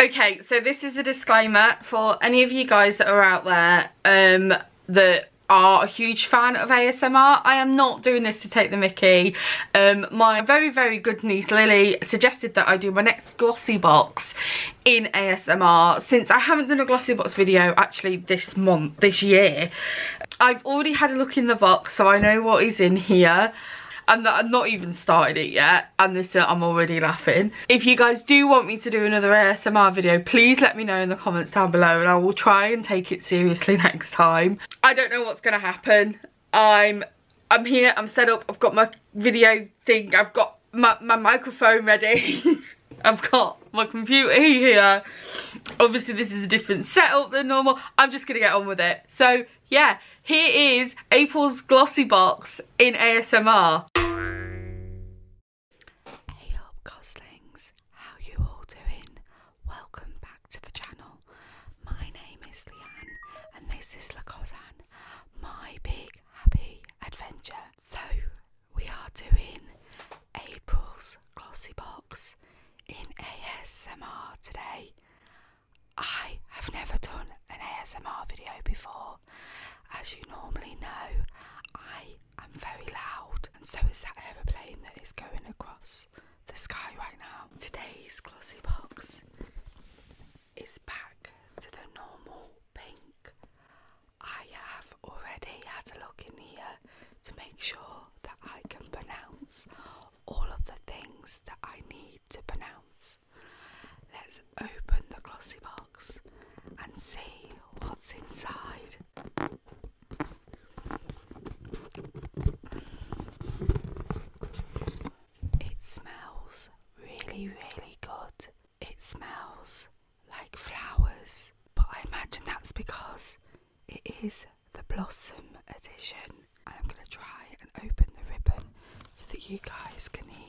Okay, so this is a disclaimer for any of you guys that are out there um, that are a huge fan of ASMR. I am not doing this to take the mickey. Um, my very, very good niece Lily suggested that I do my next glossy box in ASMR since I haven't done a glossy box video actually this month, this year. I've already had a look in the box so I know what is in here and I've not even started it yet and this I'm already laughing. If you guys do want me to do another ASMR video, please let me know in the comments down below and I will try and take it seriously next time. I don't know what's going to happen. I'm I'm here, I'm set up, I've got my video thing, I've got my, my microphone ready. I've got my computer here. Obviously this is a different setup than normal. I'm just going to get on with it. So yeah, here is April's glossy box in ASMR. Hey up goslings, how you all doing? Welcome back to the channel. My name is Leanne and this is Lacozan, my big happy adventure. So we are doing April's glossy box in ASMR today. I have never done an ASMR video before. As you normally know, I am very loud, and so is that aeroplane that is going across the sky right now. Today's glossy box is back to the normal pink. I have already had a look in here to make sure that I can pronounce all of the things that I need to pronounce. Let's open the glossy box and see what's inside. It smells really, really good. It smells like flowers, but I imagine that's because it is the Blossom edition. I'm going to try and open the ribbon so that you guys can hear.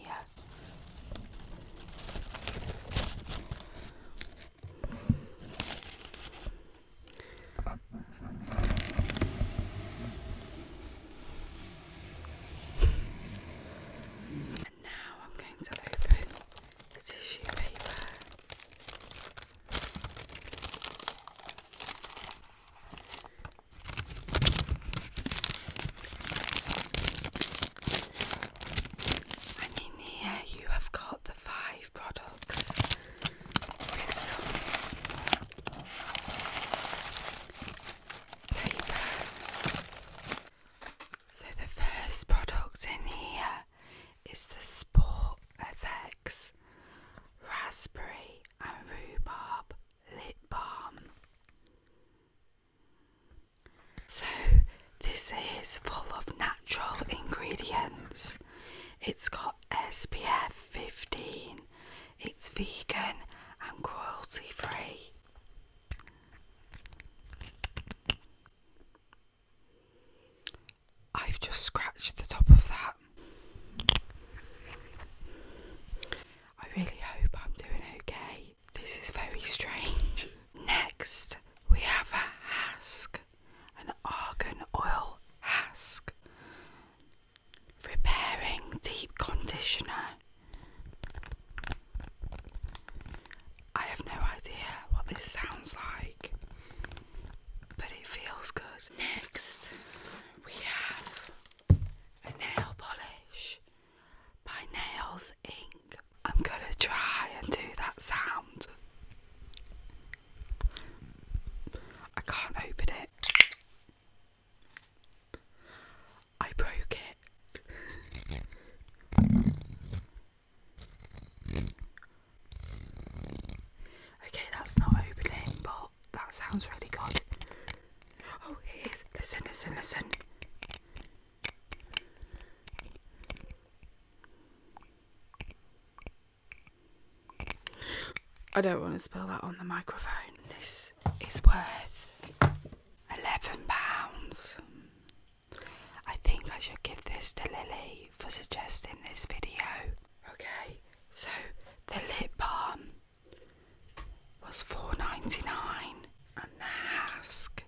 And now I'm going to open the tissue paper in here you have got the five products So the first product in here is the Sport FX Raspberry and Rhubarb lip balm. So, this is full of natural ingredients. It's got SPF 15, it's vegan and cruelty free. I've just scratched the top of that. I really hope I'm doing okay. This is very strange. Next, we have a hask, an argan oil hask, repairing deep conditioner. I have no idea what this sounds like, but it feels good. Next, we have a nail polish by Nails Inc. I'm gonna try and do that sound. I can't open it. I broke it. Okay, that's not opening, but that sounds really good. Oh, it is. Listen, listen, listen. I don't want to spill that on the microphone. This is worth £11. I think I should give this to Lily for suggesting this video. Okay, so the lip balm was four ninety nine, and the Hask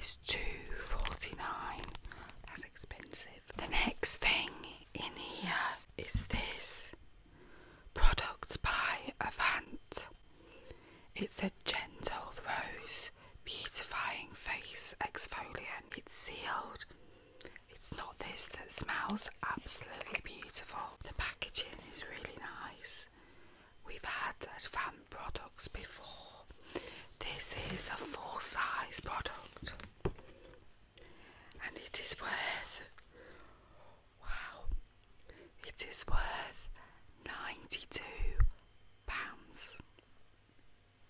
is two forty nine. That's expensive. The next thing in here is this product by Avant. It's a gentle rose beautifying face exfoliant. It's sealed. It's not this that smells absolutely beautiful. Oh, the packaging is really nice. We've had advanced products before. This is a full size product and it is worth wow it is worth 92 pounds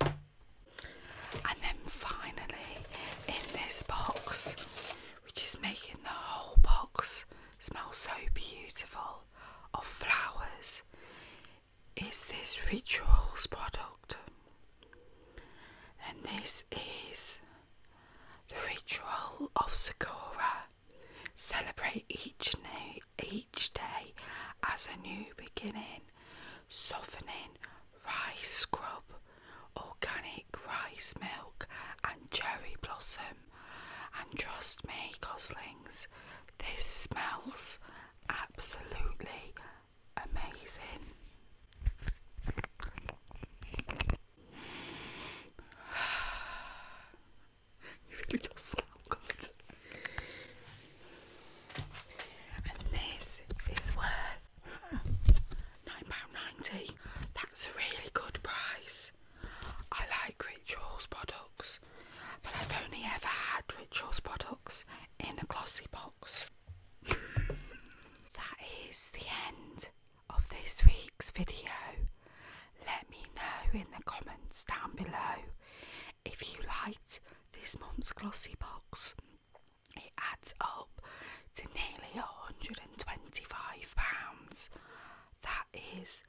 and then finally in this box which is making the whole box smell so beautiful of flowers, is this Rituals product. And this is the Ritual of Sakura. Celebrate each new each day as a new beginning. Softening rice scrub organic rice milk and cherry blossom. And trust me, goslings, this smells absolutely amazing. It really does smell good. And this is worth £9.90. That's a really good price. I like Rituals products, but I've only ever had Rituals products in the glossy box. that is the end of this week's video. Let me know in the comments down below if you liked this month's glossy box. It adds up to nearly £125. That is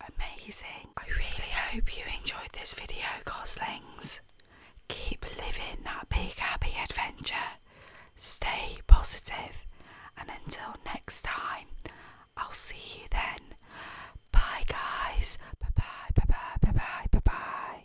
amazing. I really hope you enjoyed this video, Goslings. Keep living that big happy adventure. Stay positive, and until next time, I'll see you then. Bye, guys. Bye bye, bye bye, bye bye, bye bye.